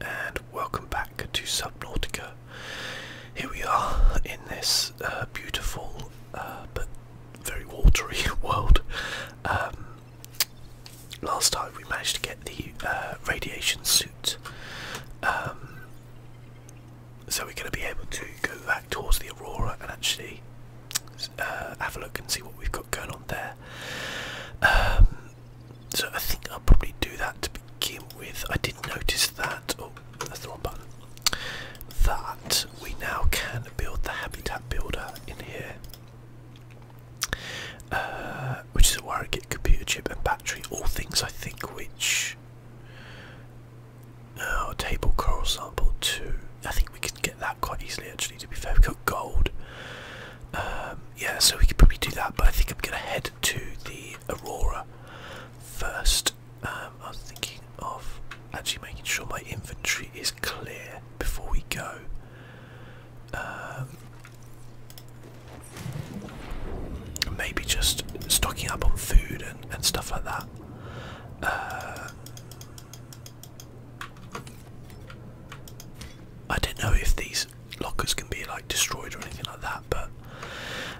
and welcome back to Subnautica. Here we are in this uh, beautiful uh, but very watery world. Um, last time we managed to get the uh, radiation suit, um, so we're going to be able to go back towards the Aurora and actually have a look and see what we've got going on there. Um, so I think I'll probably do that to begin with. I did notice that, oh, that's the wrong button, that we now can build the habitat builder in here. Uh, which is a wire kit, computer chip and battery, all things I think which... Oh, table coral sample 2. I think we can get that quite easily actually to be fair. We've got gold. Um, yeah, so we could probably do that, but I think I'm going to head to the Aurora first. Um, I I'm thinking of actually making sure my inventory is clear before we go. Um, maybe just stocking up on food and, stuff like that. Uh, I don't know if these lockers can be like destroyed or anything like that. But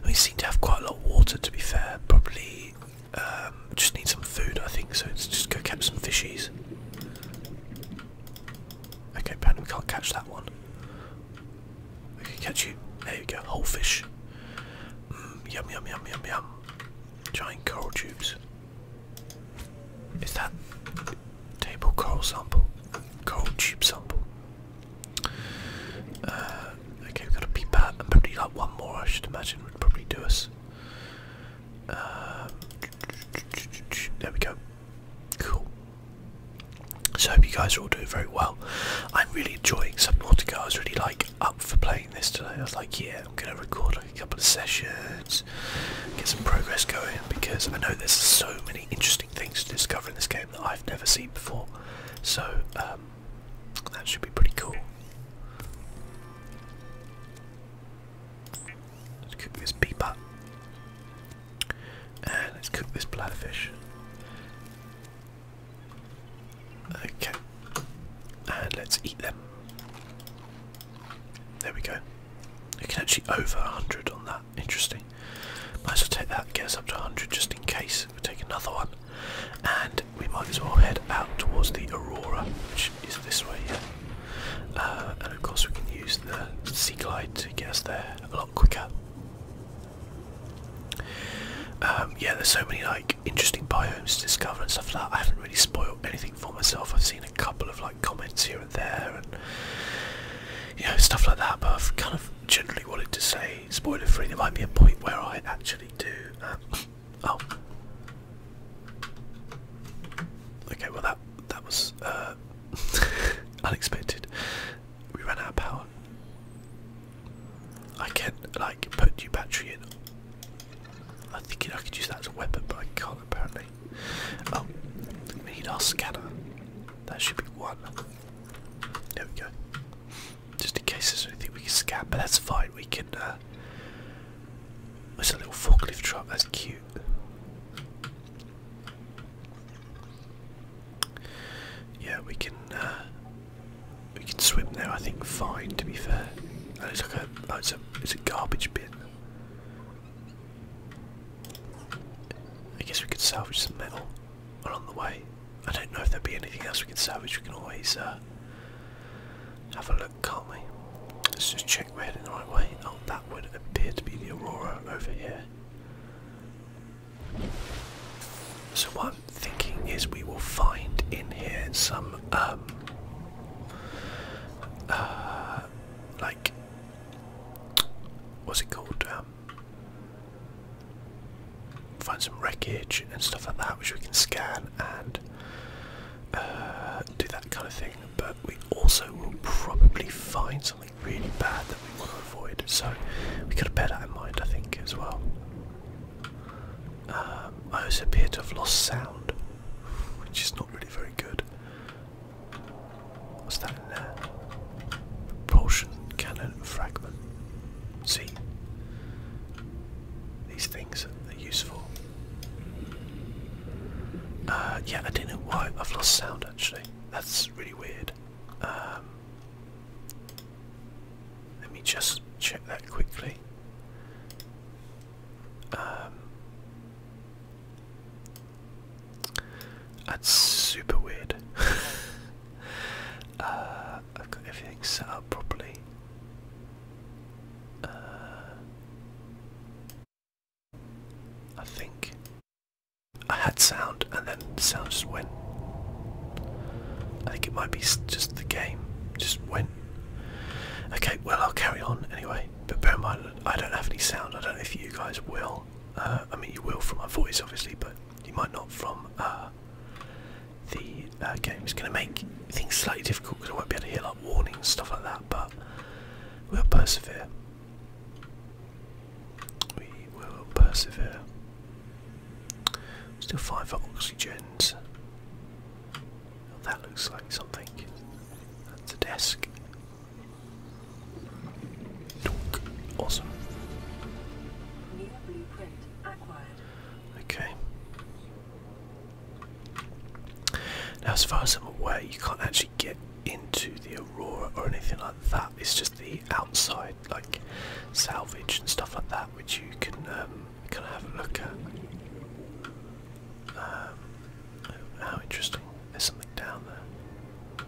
we seem to have quite a lot of water. To be fair, probably um, just need some food. I think so. Let's just go catch some fishies. Okay, apparently we can't catch that one. We can catch you. There you go, whole fish. Mm, yum yum yum yum yum. Giant coral tubes. Is that Table coal sample. Coal tube sample. Uh, okay, we've got a peep hat and probably like one more I should imagine would probably do us. Um, there we go. Cool. So I hope you guys are all doing very well. I'm really enjoying some Subnautica. I was really like up for playing this today. I was like, yeah, I'm gonna record like a couple of sessions, get some progress going because I know there's so many interesting things to discover in this game that I've never seen before. So um, that should be pretty cool. Let's cook this beeper. And let's cook this bladderfish. Okay. And let's eat them. There we go. We can actually over 100 on that. Interesting. Might as well take that, get us up to 100 just in case. we take another one. And we might as well head out towards the Aurora, which is this way, yeah. Uh, and of course, we can use the Sea Glide to get us there a lot quicker. Um, yeah, there's so many like interesting biomes to discover and stuff like that. I haven't really spoiled anything for myself. I've seen a couple of like comments here and there and you know stuff like that but I've kind of generally wanted to say spoiler free there might be a point where I actually do um, oh okay well that that was uh, unexpected we ran out of power I can like put new battery in I think I could use that as a weapon but I can't apparently. Oh, we need our scanner. That should be one. There we go. Just in case there's anything we can scab, but that's fine. We can. Uh, there's a little forklift truck. That's cute. Yeah, we can. Uh, we can swim there. I think fine. To be fair, that like a. Oh, a. It's a garbage bin. I guess we could salvage some metal along the way. I don't know if there'd be anything else we can salvage. We can always uh, have a look, can't we? Let's just check we're heading the right way. Oh, that would appear to be the Aurora over here. So what I'm thinking is we will find in here some, um, uh, like, what's it called? Um, find some wreckage and stuff like that which we can scan and uh, do that kind of thing but we also will probably find something really bad that we want to avoid so we gotta bear that in mind I think as well. Um, I also appear to have lost sound which is not really very good What's that in there? Propulsion cannon fragment. See? These things are useful. Uh, yeah, I did not know why I've lost sound actually. That's really weird. Um, let me just check that quickly. Um, that's super weird. Uh, I've got everything set up properly. Uh, I think I had sound and then sound just went. I think it might be just the game just went. Okay, well I'll carry on anyway. But bear in mind I don't have any sound. I don't know if you guys will. Uh, I mean, you will from my voice, obviously, but you might not from uh, the uh, game. It's going to make things slightly difficult because I won't be able to hear like warnings and stuff like that. But we'll persevere. We will persevere. Still five for oxygens. that looks like something. at the desk. Awesome. Okay. Now, as far as I'm aware, you can't actually get into the Aurora or anything like that. It's just the outside, like salvage and stuff like that, which you can kind um, of have a look at. Um, how interesting! There's something down there.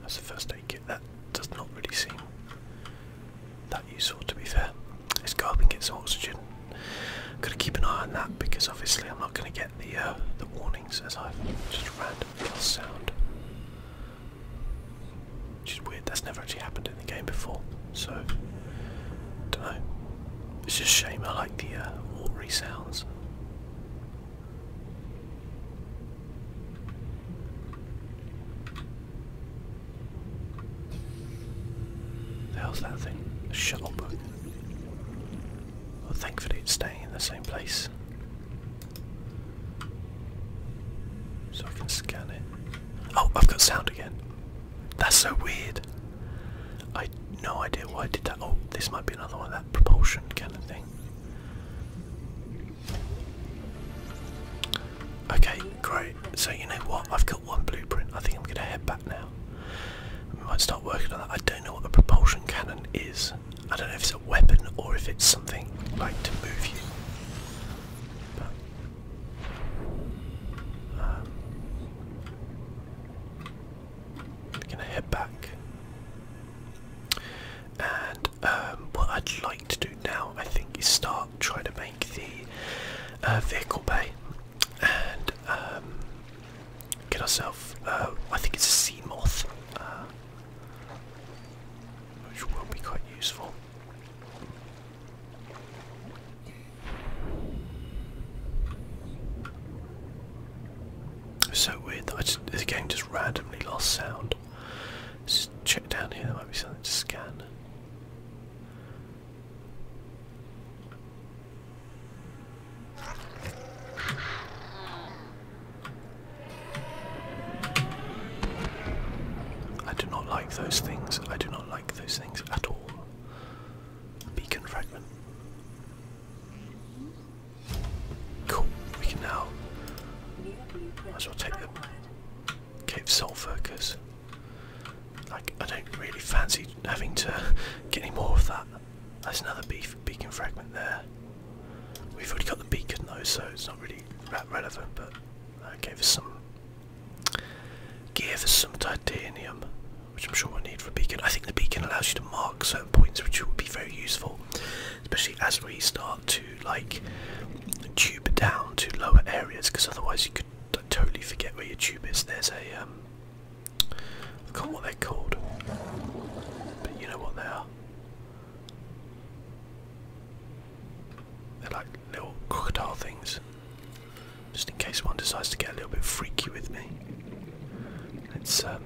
That's the first aid kit. That does not really seem that useful, to be fair. Let's go up and get some oxygen. I've got to keep an eye on that because obviously I'm not going to get the uh, the warnings as I've just randomly lost sound. Which is weird. That's never actually happened in the game before. So don't know. It's just a shame. I like the uh, watery sounds. The hell's that thing? A shuttle Well, thankfully, it's staying in the same place. So I can scan it. Oh, I've got sound again. That's so weird. I no idea why I did that. Oh, this might be another one of that propulsion kind of thing. Okay, great. So you know what? I've got one blueprint. I think I'm gonna head back now. We might start working on that. I don't know what the propulsion cannon is. I don't know if it's a weapon or if it's something like to move you. Um, we're gonna head back. And um, what I'd like to do now, I think, is start trying to make the uh, vehicle bay and um, get ourselves. Uh, I think it's a sea moth, uh, which will be quite useful. It's so weird that I just, the game just randomly lost sound. just check down here, there might be something to scan. I do not like those things. I do not like those things at all. Beacon fragment. Cool, we can now. as well take the Cave Sulphur because like, I don't really fancy having to get any more of that. There's another beef beacon fragment there. We've already got the beacon though, so it's not really that relevant, but that gave us some Give some titanium, which I'm sure we'll need for beacon. I think the beacon allows you to mark certain points, which would be very useful, especially as we start to like tube down to lower areas, because otherwise you could totally forget where your tube is. There's a um, I can't what they're called, but you know what they are. They're like little crocodile things. Just in case one decides to get a little bit freaky with me. Let's um,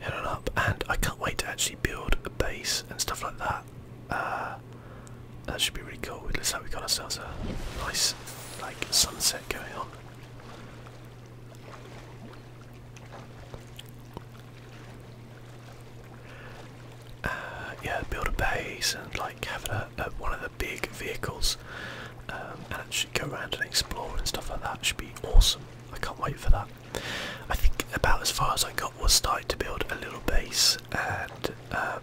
head on up and I can't wait to actually build a base and stuff like that. Uh, that should be really cool. It looks like we got ourselves a nice like sunset going on. Uh, yeah, build a base and like have one of the big vehicles um, and actually go around and explore and stuff like that. Should be awesome. I can't wait for that. I think about as far as I got was starting to build a little base and um,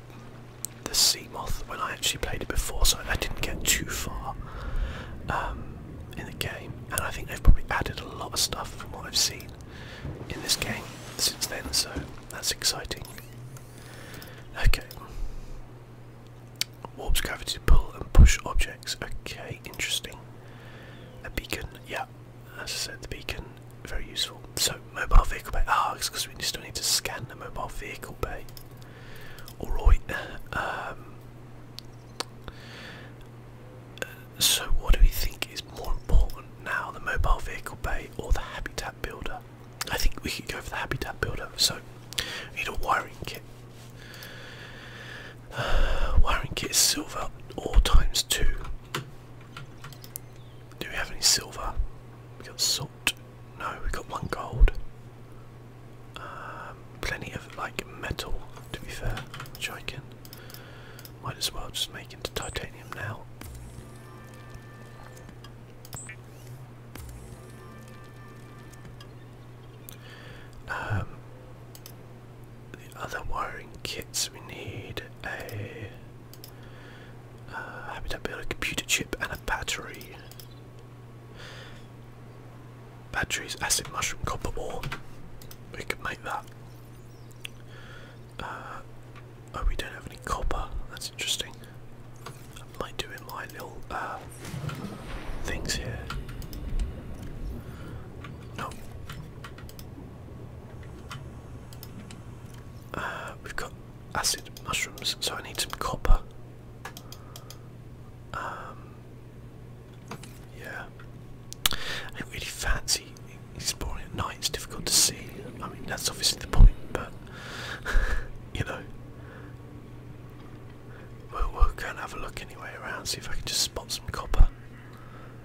the sea moth when I actually played it before, so I didn't get too far um, in the game. And I think they've probably added a lot of stuff from what I've seen in this game since then. So that's exciting. Okay. Warps gravity pull and push objects. Okay, interesting. A beacon, yeah. As I said, the beacon, very useful. So, mobile vehicle bay. Ah, because we still need to scan the mobile vehicle bay. Alright. Um, uh, so, what do we think is more important now, the mobile vehicle bay or the habitat builder? I think we could go for the habitat builder. So, we need a wiring kit. wiring kit is silver or times two. Do we have any silver? We got salt. No, we got one gold. Um, plenty of like metal, to be fair, which I can might as well just make into titanium now. Um, the other wiring kits we need a uh, computer chip and a battery. Batteries, acid mushroom, copper ore. We could make that. Uh, oh, we don't have any copper. That's interesting. I might do my little uh, things here. No. Uh, we've got acid mushrooms, so I need some copper. Um, yeah. I really fancy it's born at night, it's difficult to see. I mean, that's obviously the point, but you know, we'll, go and have a look anyway around, see if I can just spot some copper.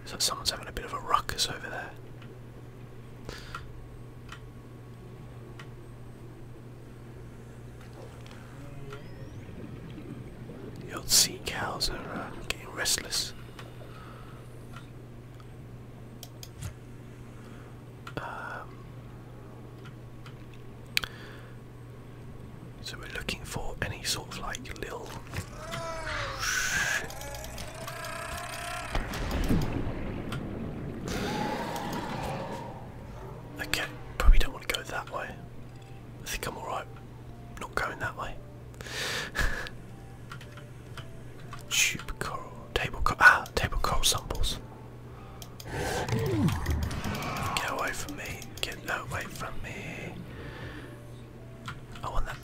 So someone's having a bit of a ruckus over there. The old sea cows are uh, getting restless. Um, so we're looking for any sort of like little Okay, probably don't want to go that way. I think I'm alright not going that way. Tube coral, table coral, ah, table coral samples. Get away from me, get away from me. I want that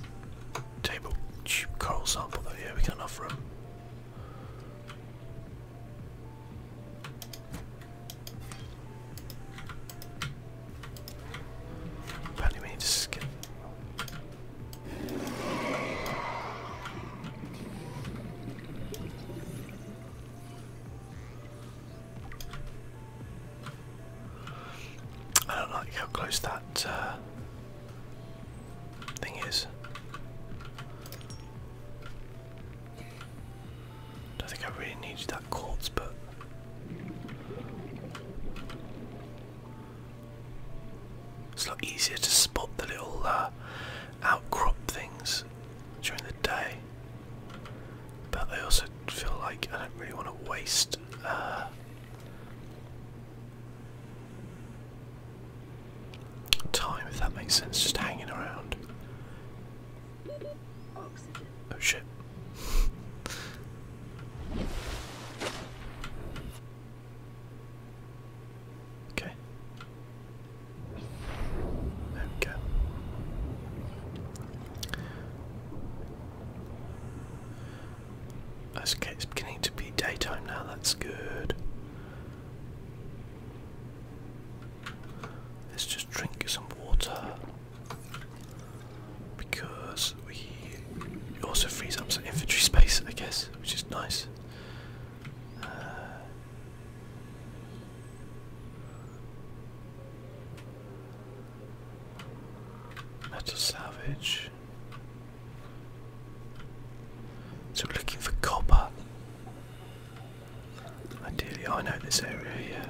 table tube coral sample yeah, we can offer them. Apparently we need to I don't like how close that uh, thing is. do think I really need that quartz, but it's a lot easier to spot the little uh, outcrop things during the day. But I also feel like I don't really want to waste. Uh, time, if that makes sense, just hanging around. Oh shit. Okay. There we go. That's okay, it's beginning to be daytime now, that's good. Let's just drink some water because we also frees up some infantry space, I guess, which is nice. Uh, metal salvage. So looking for copper. Ideally, I know this area here.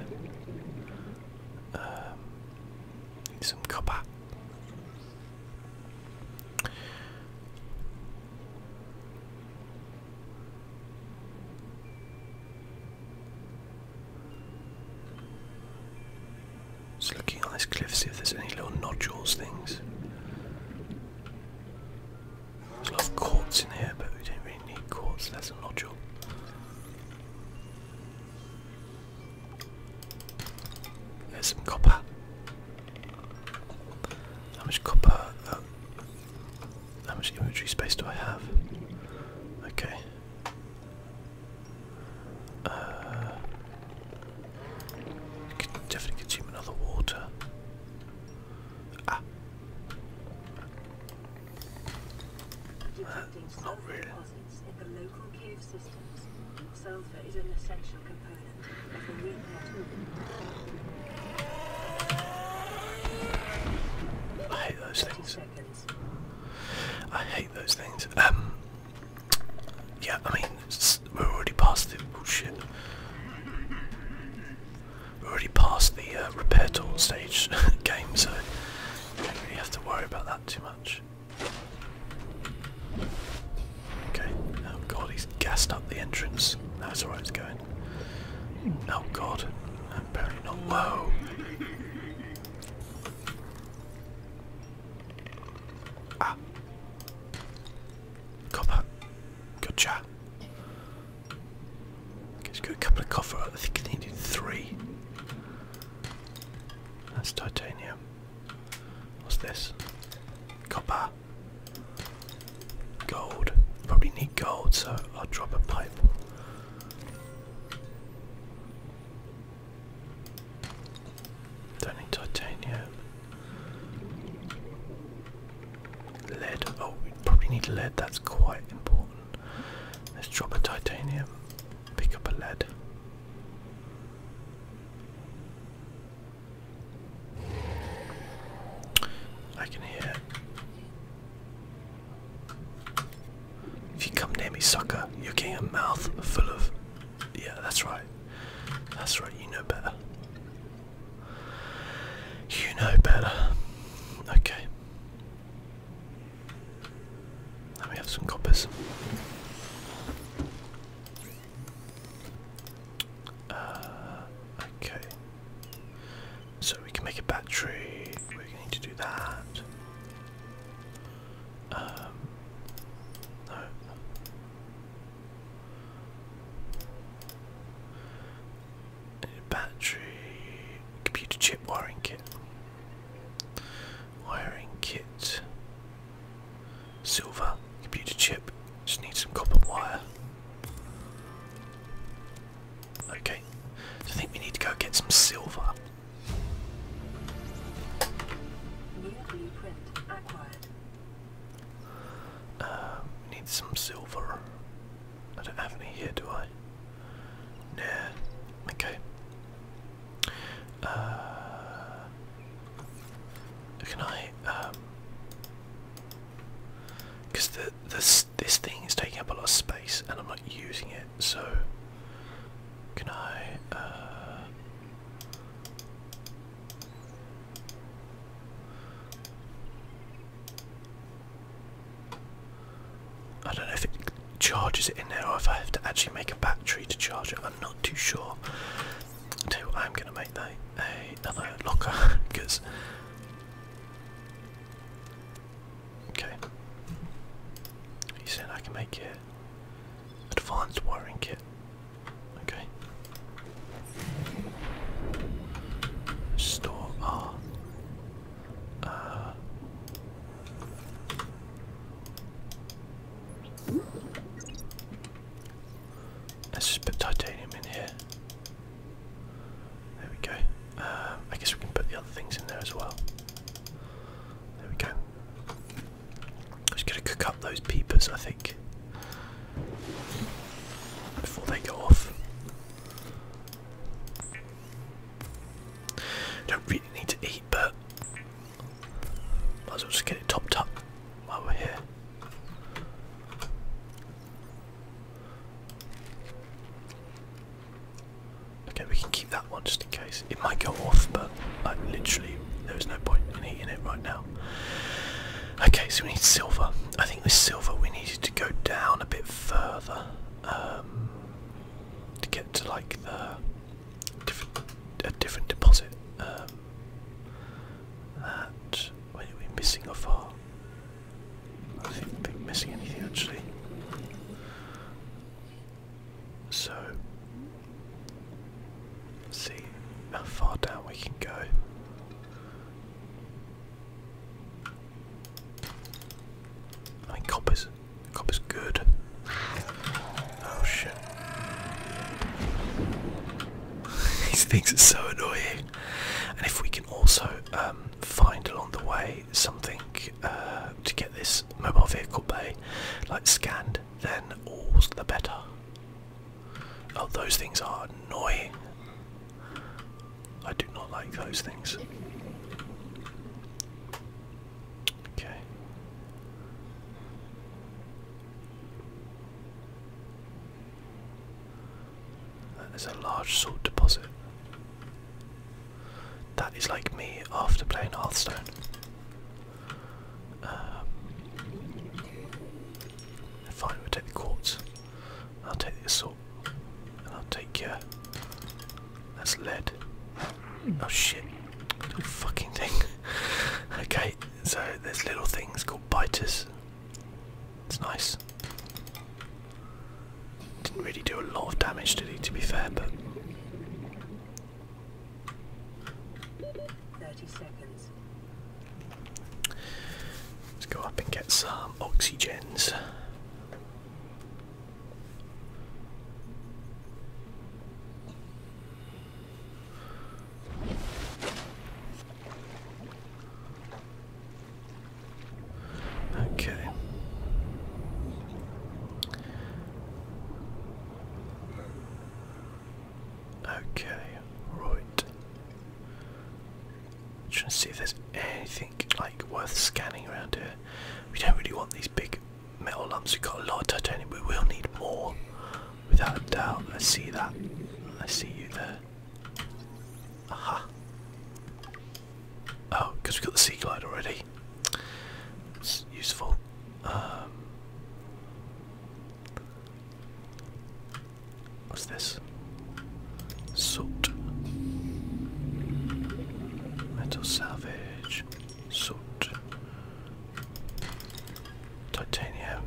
Um, some copper looking on this cliff, see if there's any little nodules things. There's a lot of quartz in here, but we don't really need quartz, There's a nodule. There's some copper. How much copper? Um, how much inventory space do I have? Okay. Uh, definitely consume another water. Ah. Uh, sulfur is an essential component of the recoil. I hate those things. I hate those things. Um, yeah, I mean, we're already past the bullshit. We're already past the uh, repair tool stage game, so we don't really have to worry about that too much. Okay. Oh god, he's gassed up the entrance. That's no, where it's going. Oh god. Apparently not. Whoa. Ah. Copper. Gotcha. Okay, let's go a couple of copper. I think it needed three. That's titanium. What's this? Copper. Gold. Probably need gold, so I'll drop a pipe. Don't need titanium. Lead. Oh, we probably need lead. That's quite important. Let's drop a titanium. Pick up a lead. I can hear it. If you come near me, sucker, you're getting a mouth full of. Yeah, that's right. That's right, you know better. You know better. Okay. Now we have some coppers. Uh, okay. So we can make a battery. We're going to do that. Um, battery, computer chip wiring kit. Wiring kit. Silver, computer chip, just need some copper wire. Okay, so I think we need to go get some silver. Uh, need some silver. I don't have any here, do I? Nah. Okay. Uh, can I? Because um, this this thing is taking up a lot of space and I'm not using it, so can I? Uh, I don't know if it charges it in there or if I have to actually make a battery to charge it. I'm not too sure. Tell I'm gonna make though, another locker, because Okay. He said I can make it advanced wiring kit. Okay. Store our uh, Let's just put titanium in here. There we go. Um, I guess we can put the other things in there as well. There we go. I'm just going to cook up those peepers, I think, before they go off. don't really need to eat, but might as well just get it topped up while we're here. Okay, we can keep that one just in case. It might go off, but like literally there is no point in heating it right now. Okay, so we need silver. I think this silver we needed to go down a bit further um, to get to like the a different deposit. Um, are we missing off our? I don't think we're missing anything actually. So, see how far down we can go. I think copper's, copper's good. Oh shit. These things are so annoying. And if we can also um, find along the way something uh, to get this mobile vehicle bay like scanned, then all's the better. Oh, those things are annoying. I do not like those things. Okay. There's a large salt deposit. That is like me after playing Hearthstone. Um, fine, we the quartz. I'll take this salt. And I'll take your. That's lead. Oh shit. Little fucking thing okay, so there's little things called biters. It's nice. Didn't really do a lot of damage, did he? To be fair, but. 30 seconds. Let's go up and get some oxygens. Okay. Okay, right. Trying to see if there's anything like worth scanning around here. We don't really want these big metal lumps. We've got a lot of titanium. We will need more. Without a doubt, I see that. I see you there. Aha. Oh, because we've got the sea glide already. It's useful. Um, what's this? Salt. Metal salvage. Salt. Titanium.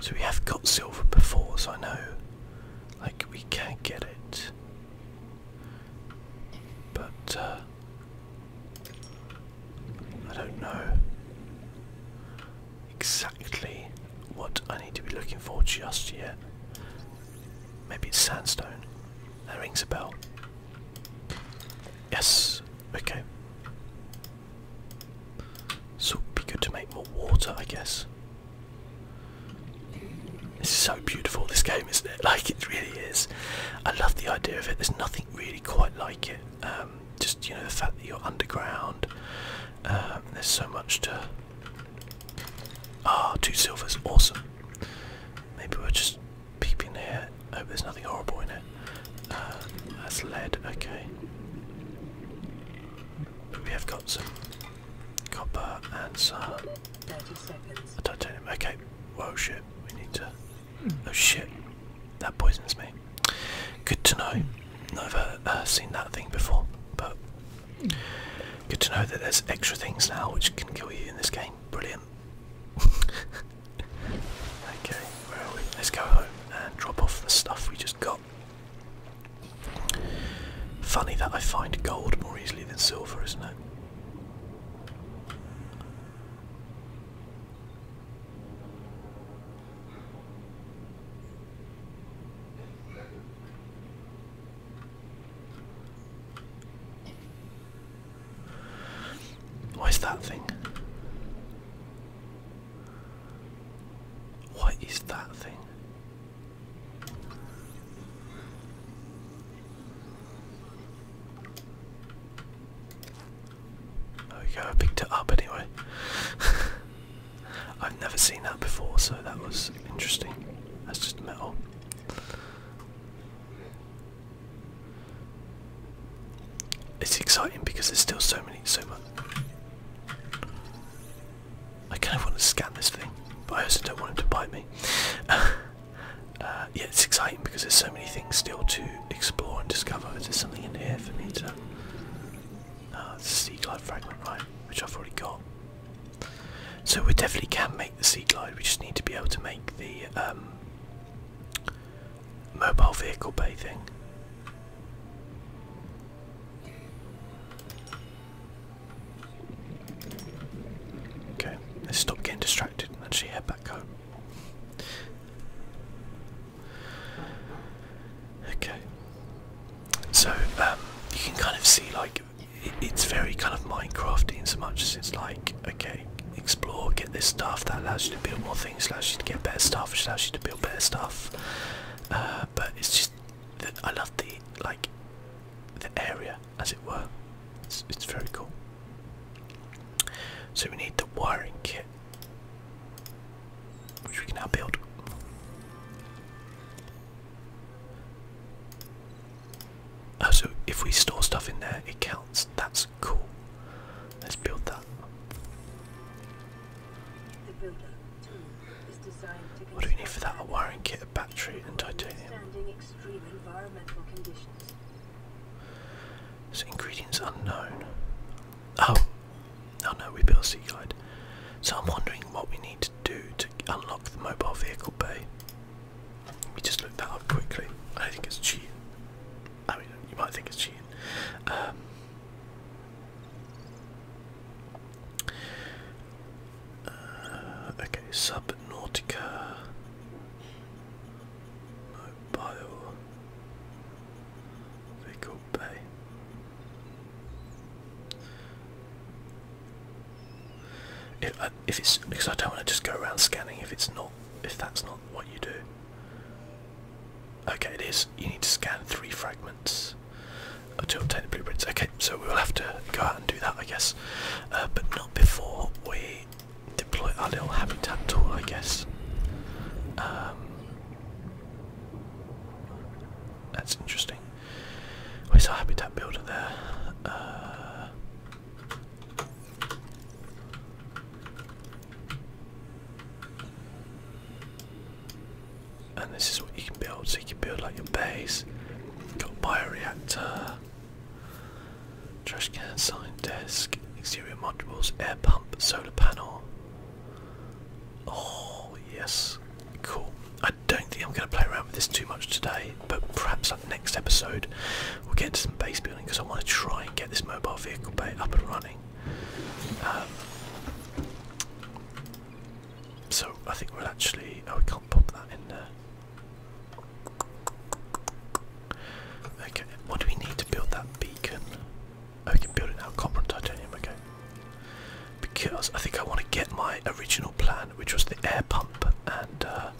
So we have got silver before, so I know like we can not get it. But uh I don't know exactly what I need to be looking for just yet. Maybe it's sandstone. That rings a bell. Yes, Okay. So it'd be good to make more water, I guess. This is so beautiful, this game, isn't it? Like, it really is. I love the idea of it. There's nothing really quite like it. Um, just, you know, the fact that you're underground. Um, there's so much to... Ah, two silvers. Awesome. Maybe we are just peeping here. I hope there's nothing horrible in it. Uh, that's lead, okay. We have got some copper and some titanium. Okay, whoa shit, we need to... Oh shit, that poisons me. Good to know. Never uh, seen that thing before, but good to know that there's extra things now which can kill you in this game. Brilliant. Okay, where are we? Let's go home and drop off the stuff we just got. Funny that I find gold more easily than silver, isn't it? What is that thing? What is that thing? There we go, I picked it up anyway. I've never seen that before, so that was interesting. That's just metal. It's exciting because there's still so many, so much. I kind of want to scan this thing, but I also don't want him to bite me. Uh, yeah, it's exciting because there's so many things still to explore and discover. Is there something in here for me to? Uh, it's sea glide fragment, right? Which I've already got. So we definitely can make the sea glide. We just need to be able to make the um, mobile vehicle bathing. Okay, let's stop getting distracted and actually head back home. Okay, so um, you can kind of see like it's very kind of Minecrafty in so much as it's like okay, explore, get this stuff, that allows you to build more things, allows you to get better stuff, which allows you to build better stuff. Uh, but it's just, that I love the, like, the area, as it were. It's, it's very cool. So we need the wiring kit, which we can now build. Oh, so if we store stuff in there, it counts. That's cool. Let's build that. What do we need for that? A wiring kit, a battery, and titanium. ingredients unknown. Oh, oh no, we built a sea guide. So I'm wondering what we need to do to unlock the mobile vehicle bay. Let me just look that up quickly. I think it's cheap. I mean, you might think it's cheating. Um, uh, okay, Subnautica Mobile Vehicle Bay. If, uh, if it's because I don't want to just go around scanning if it's not if that's not what you do. Okay, it is. You need to scan three fragments to obtain the blueprints. Okay, so we will have to go out and do that, I guess, uh, but not before we deploy our little habitat tool, I guess. Um, that's interesting. We Where's our habitat builder there? Uh, and this is what you can build. So you can build like your base. Got a bioreactor, trash can, sign desk, exterior modules, air pump, solar panel. Oh yes, cool. I don't think I'm going to play around with this too much today, but perhaps up next episode We'll get to some base building because I want to try and get this mobile vehicle bay up and running. Um, so I think we'll actually. Oh, we can't pop that in there. Okay, what do we need to build that beacon? Oh, we can build it now. Copper and titanium, okay. Because I think I want to get my original plan, which was the air pump, and uh,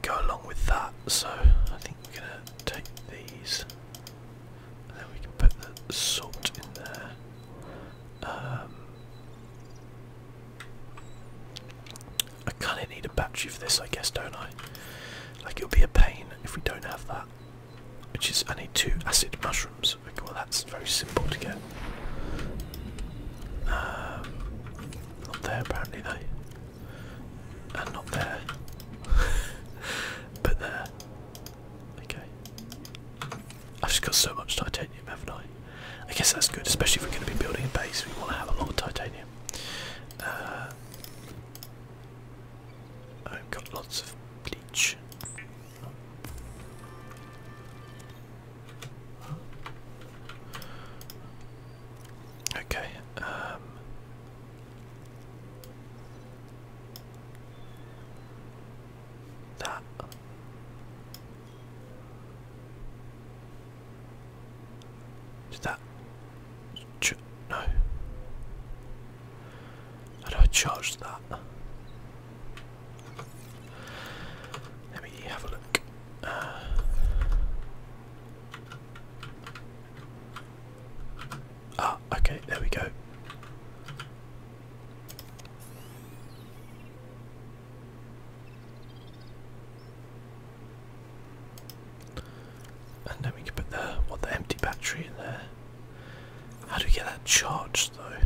go along with that. So I think we're gonna take these and then we can put the salt in there. Um, I kinda need a battery for this I guess don't I? Like it'll be a pain if we don't have that. Which is I need two acid mushrooms. well that's very simple to get. Um, not there apparently though. And not there. but there. Okay. I've just got so much titanium, haven't I? I guess that's good, especially if we're going to be building a base. We want to have a lot of titanium. Uh, I've got lots of bleach. Okay. Um, that. Is that? no. I do I charged that? Let me have a look. Uh, Ah, okay, there we go. And then we can put the what the empty battery in there. How do we get that charged though?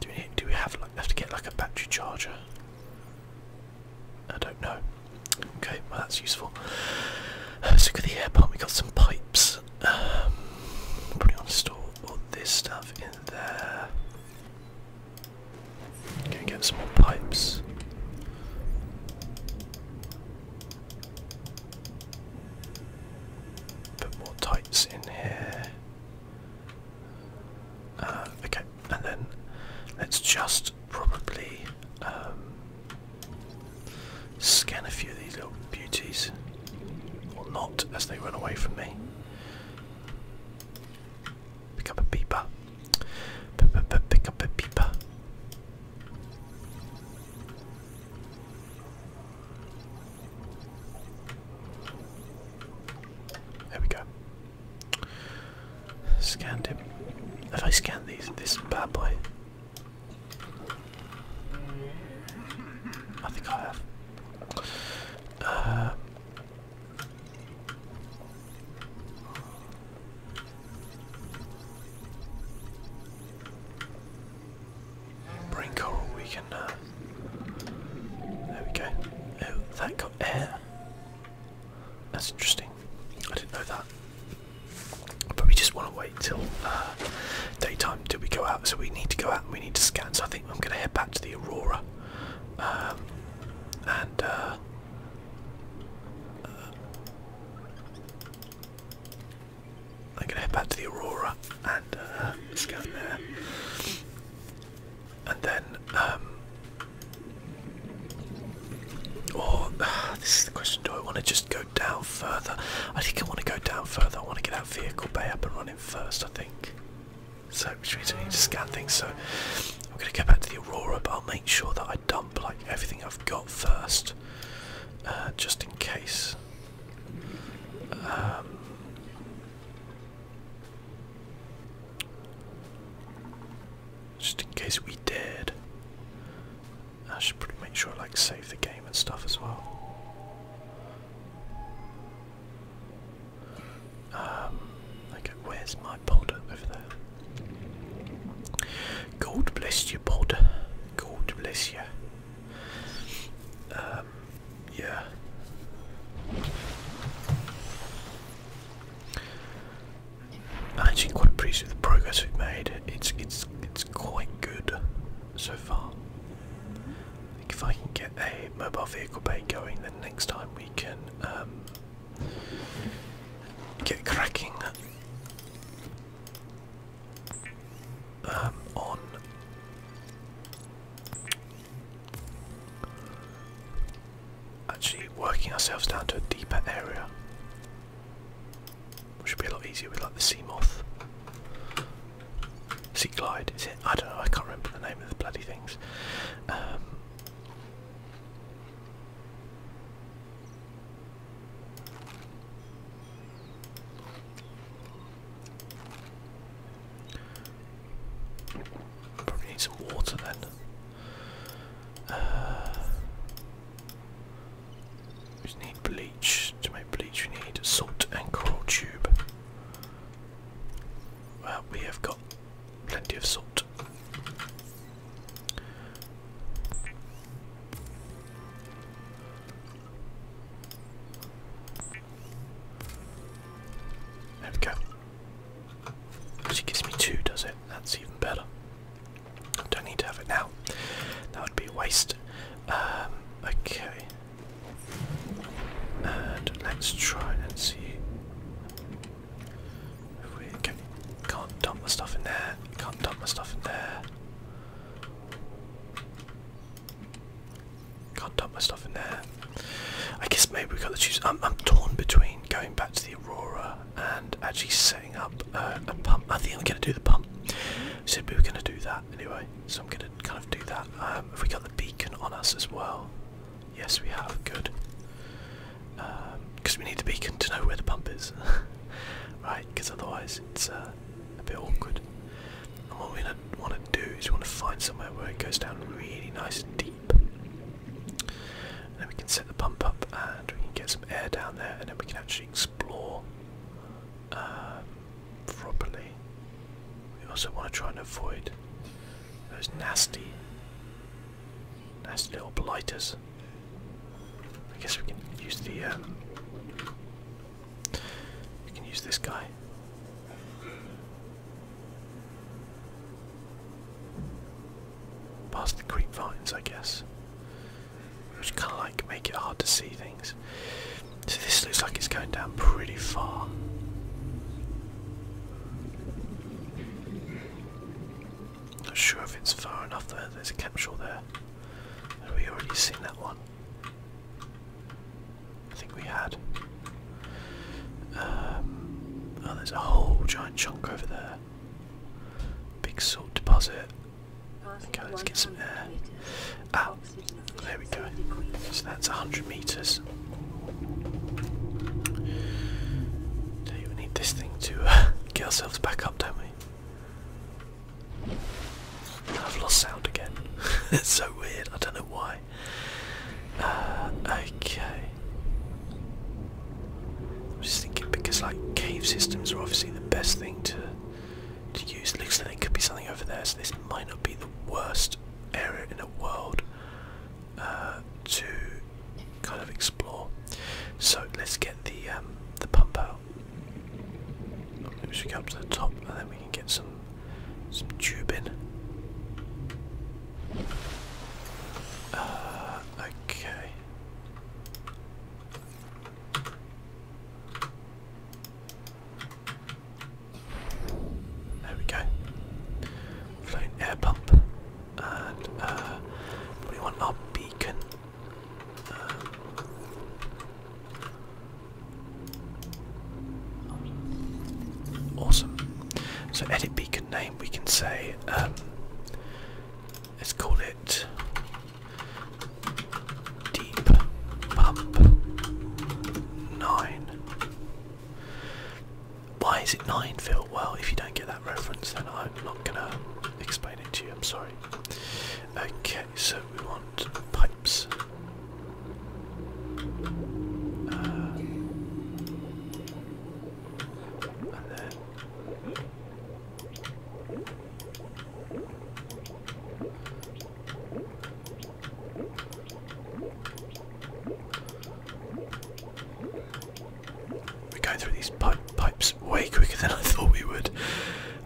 Do we do we have like have to get like a battery charger? I don't know. Okay, well that's useful. Uh, so, go to the air We got some pipes. Um, probably store all this stuff in there. Gonna get some more pipes. Put more types in here. Uh, okay, and then let's just probably um, scan a few of these little beauties, or not, as they run away from me. Pick up a beeper. pick up a beeper. There we go. Scanned him. If I scan these, this bad boy, I think I have. Uh, brain coral, we can. Uh, there we go. Oh, that got air. That's interesting. I didn't know that. But we just want to wait till uh, daytime till we go out. So we need to go out and we need to scan. So I think I'm going to head back to the Aurora. Um, and uh, uh, I'm going to head back to the Aurora and uh, scan there and then um, or this is the question do I want to just go down further I think I want to go down further I want to get that vehicle bay up and running first I think so which means we need to scan things so I'm gonna go back to the Aurora but I'll make sure that I dump like everything I've got first uh, just in case um, just in case we did. I should probably make sure I like save the game and stuff as well. Um okay, where's my pod over there? God bless you pod. God bless you. Um yeah i actually quite appreciate the progress we've made. It's it's it's quite good so far. I think if I can get a mobile vehicle bay going, then next time we can um, get cracking um, on Actually, working ourselves down to a deeper area, which would be a lot easier with like the sea moth, sea glide. Is it? I don't know. I can't remember the name of the bloody things. Um, probably need some water then. Uh, we need bleach. To make bleach, we need salt and coral tube. Well, we have got plenty of salt. There we go. She gives me two, does it? That's even better. I don't need to have it now. That would be a waste. Um, okay. And let's try and see if we okay. can't dump my stuff in there. Can't dump my stuff in there. Can't dump my stuff in there. I guess maybe we got to choose. I'm, torn between going back to the Aurora and actually setting up uh, a pump. I think I'm going to do the pump. We said we were going to do that anyway, so I'm going to kind of do that. Um, have we got the beacon on us as well? Yes, we have. Good. Because um, we need the beacon to know where the pump is, right? Because otherwise it's uh, a bit awkward. And what we want to do is we want to find somewhere where it goes down really nice and deep then we can set the pump up and we can get some air down there and then we can actually explore um, properly. We also want to try and avoid those nasty, nasty little blighters. I guess we can use the, um, we can use this guy. Past the creep vines, I guess. Which kind of like make it hard to see things. So this looks like it's going down pretty far. Not sure if it's far enough there. There's a capsule there. Have we already seen that one? I think we had. Um, oh, there's a whole giant chunk over there. Big salt deposit. Okay, let's get some air. Ah, there we go. So that's 100 meters. So we need this thing to uh, get ourselves back up, don't we? I've lost sound again. it's so weird. I don't know why. Eh, okay. I'm just thinking because like cave systems are obviously the best thing to to use. Looks like it could be something over there, so this might not be the worst area in the world uh, to kind of explore. So let's get the um, the pump out. Maybe we should go up to the top and then we can get some some tube uh, okay. There we go. Floating air pump. And uh, we beacon. Um, awesome. So edit beacon name we can say um, let's call it deep pump nine. Why is it nine, Phil? Well, if you don't get that reference, then I'm not gonna explain it to you. I'm sorry. Okay, so we want pipes. Uh, we're going through these pipes way quicker than I thought we would.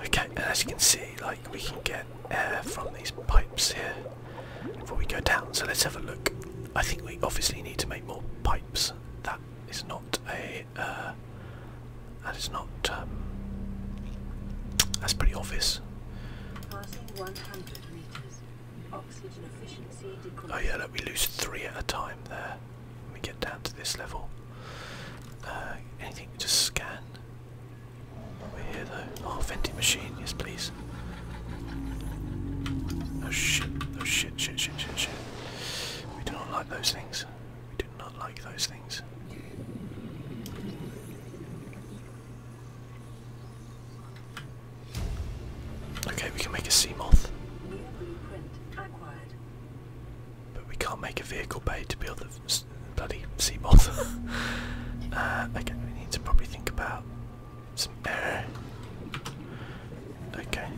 Okay, and as you can see, like we can get air from these pipes here before we go down. So let's have a look. I think we obviously need to make more pipes. That is not a. Uh, that is not. Um, that's pretty obvious. oh yeah, look, we lose three at a time there. When we get down to this level. Uh, anything to just scan? We're here though. Oh, vending machine, yes please. Oh shit, oh shit, shit, shit, shit, shit. We do not like those things. We do not like those things. Okay, we can make a sea moth. But we can't make a vehicle bay to build the bloody sea moth. uh, we need to probably think about it's an Okay.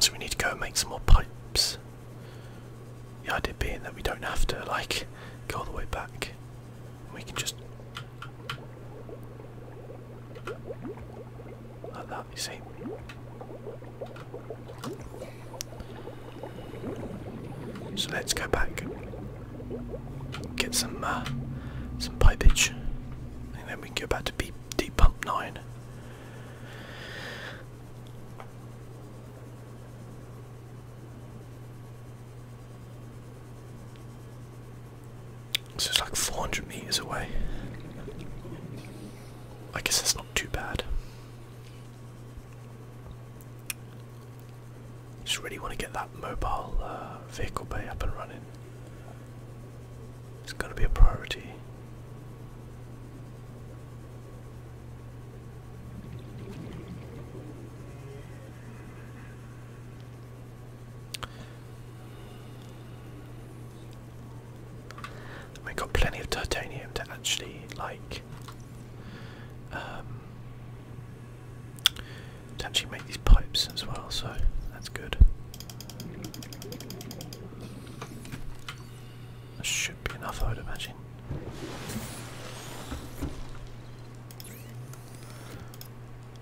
So we need to go and make some more pipes. The idea being that we don't have to like go all the way back. We can just like that, you see. So let's go back, get some uh, some pipage. And then we can go back to B deep pump nine. So it's like 400 meters away. I guess that's not too bad. Just really want to get that mobile uh, vehicle bay up and running. It's got to be a priority. We got plenty of titanium to actually like um, to actually make these pipes as well, so that's good. That should be enough, I would imagine.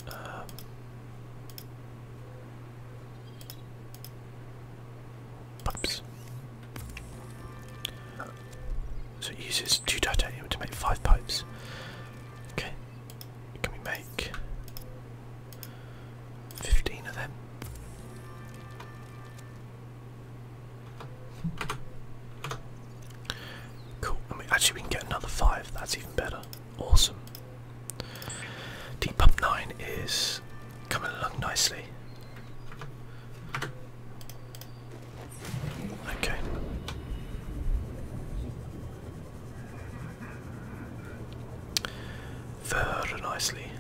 Um, So it uses two titanium to make five pipes. Okay, can we make 15 of them? Cool. actually, we can get another 5. That's even better. Awesome. Deep Pump 9 is coming along nicely. Okay. Very nicely.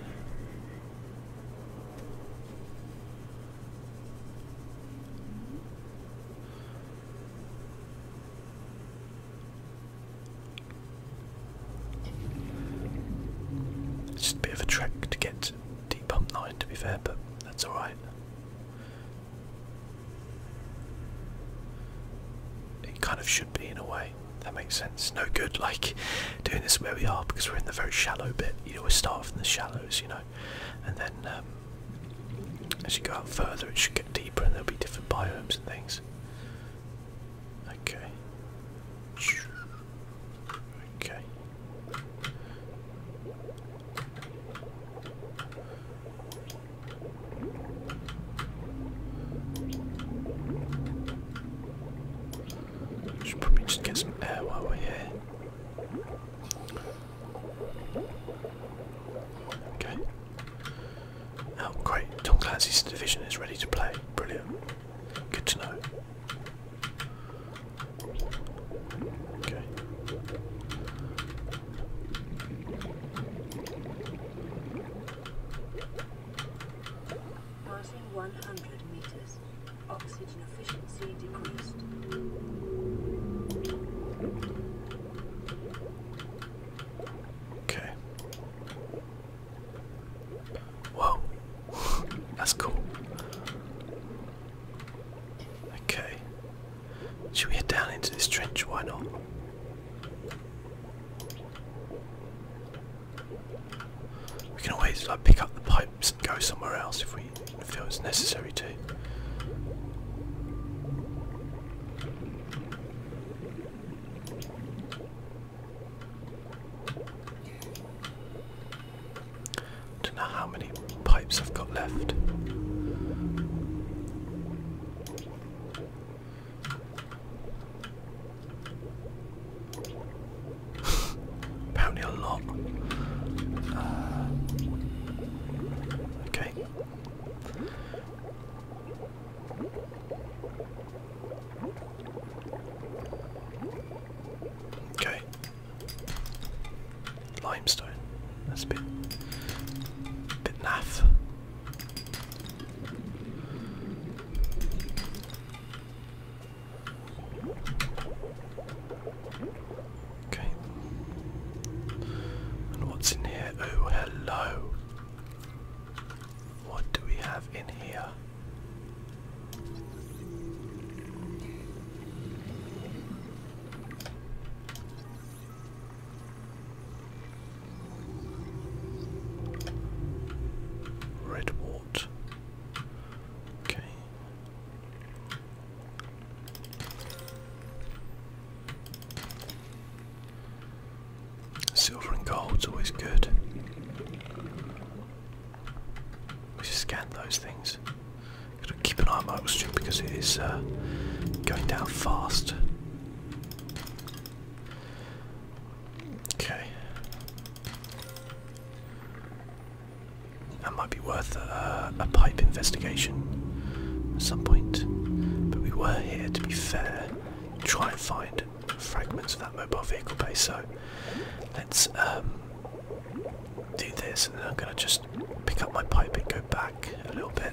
It's just a bit of a trek to get to Deep Pump 9 to be fair, but that's alright. It kind of should be in a way. That makes sense. No good like doing this where we are because we're in the very shallow bit. You always start from the shallows, you know, and then um, as you go out further, it should get deeper and there'll be different biomes and things. Okay. Okay. Should probably just get some air while we're here. Okay. Oh, great. Tom Clancy's division is ready to play. Brilliant. Good to know. Okay. Passing 100 meters, oxygen efficiency decreased. Okay. Whoa, that's cool. Okay, should we head down into this trench? Why not? We can always like pick up the pipes and go somewhere else if we feel it's necessary to. Don't know how many pipes I've got left. Apparently a lot. Uh, okay. Okay. Limestone. That's a bit, bit naff. Okay. And what's in here? Oh, hello. What do we have in here? Red Okay. Silver and gold's always good. We should scan those things. Gotta keep an eye on my oxygen because it is uh, going down fast. Okay. That might be worth a, pipe investigation at some point. But we were here, to be fair, try and find fragments of that mobile vehicle base. So let's um, do this, and then I'm going to just pick up my pipe and go back a little bit.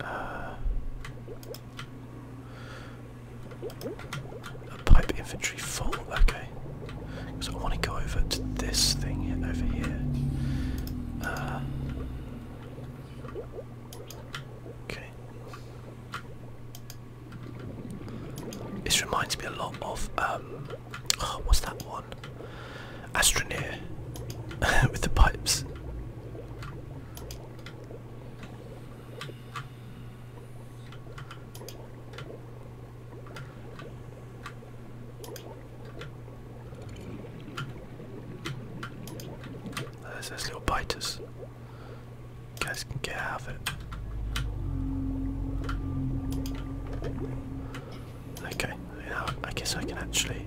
Uh, a pipe infantry fall. okay. because I want to go over to this thing over here. Uh, okay. This reminds me a lot of um, oh, what's that one? astroneer with the pipes. There's those little biters. guys can get out of it. Okay. You know, I guess I can actually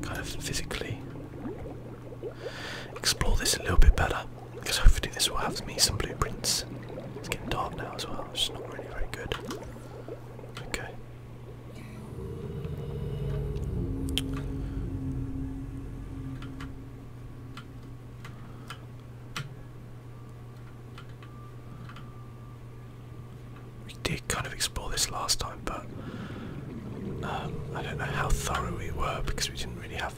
kind of physically explore this a little bit better. Because hopefully this will have me some blueprints. It's getting dark now as well, It's is not really very good. Okay. We did kind of explore this last time, but um, I don't know how thorough we were because we didn't really have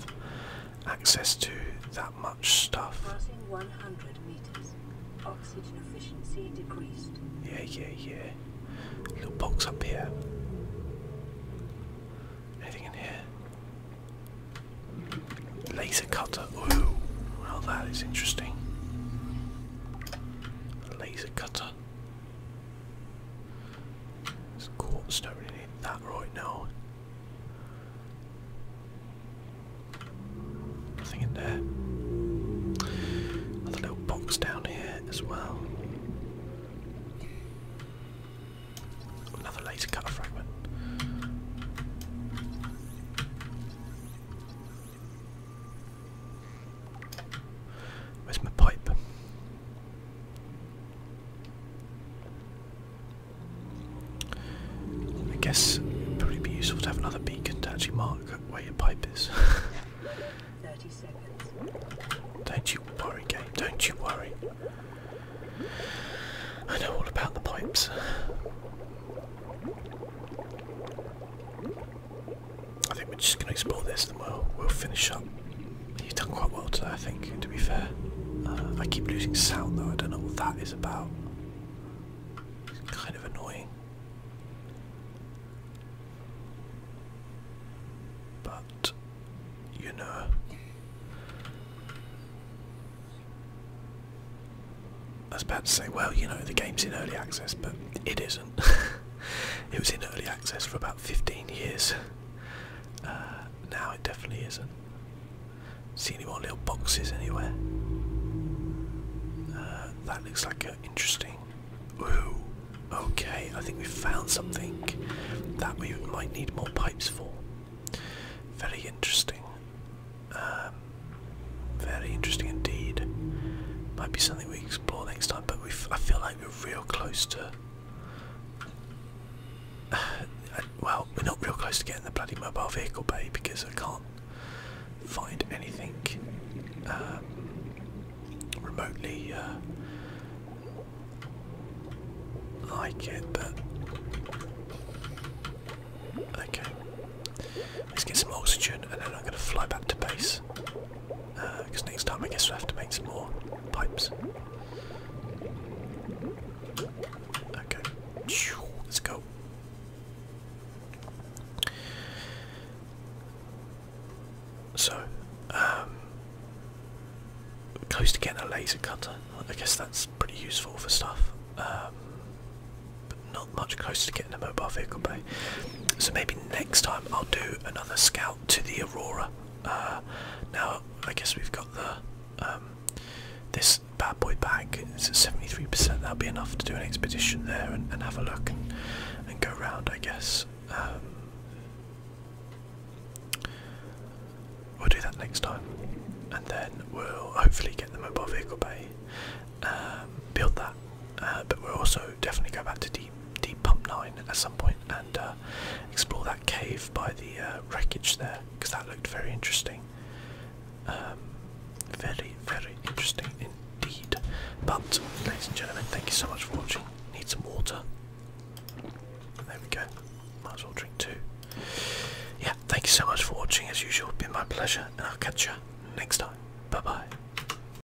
access to that much stuff. Crossing 100 meters. Oxygen efficiency decreased. Yeah, yeah, yeah. Little box up here. Anything in here? Laser cutter. Ooh, well that is interesting. Laser cutter. It's cool. Don't really need that right now. Nothing in there. Another little box down here as well. Another laser cutter fragment. Where's my pipe? I guess it'd probably be useful to have another beacon to actually mark where your pipe is. Don't you worry, game, don't you worry. I know all about the pipes. I think we're just going to explore this and we'll, we'll finish up. You've done quite well today, I think, to be fair. Uh, I keep losing sound though, I don't know what that is about. It's kind of annoying. But, you know. I was about to say, well, you know, the game's in early access, but it isn't. it was in early access for about 15 years. Uh, now it definitely isn't. See any more little boxes anywhere? Uh, that looks like an interesting. Ooh, okay, I think we found something that we might need more pipes for. Very interesting. Um, very interesting indeed. Might be something we we explore next time, but we I feel like we're real close to. well, we're not real close to getting the bloody mobile vehicle bay because I can't find anything uh, remotely uh, like it, but. Okay. Let's get some oxygen and then I'm going to fly back to base. Because next time I guess we have to make some more pipes. Okay, let's go. So, um, close to getting a laser cutter. I guess that's pretty useful for stuff. Um, but not much closer to getting a mobile vehicle bay. So maybe next time I'll do another scout to the Aurora. Uh, now I guess we've got um, this bad boy back. It's at seventy-three percent. That'll be enough to do an expedition there and, have a look and, go round. I guess um, we'll do that next time, and then we'll hopefully get the mobile vehicle bay, um, build that. Uh, but we'll also definitely go back to D deep pump nine at some point and uh, explore that cave by the uh, wreckage there because that looked very interesting. Um, very, very interesting indeed. But, ladies and gentlemen, thank you so much for watching. Need some water. There we go. Might as well drink two. Yeah, thank you so much for watching as usual. It's been my pleasure, and I'll catch you next time. Bye bye.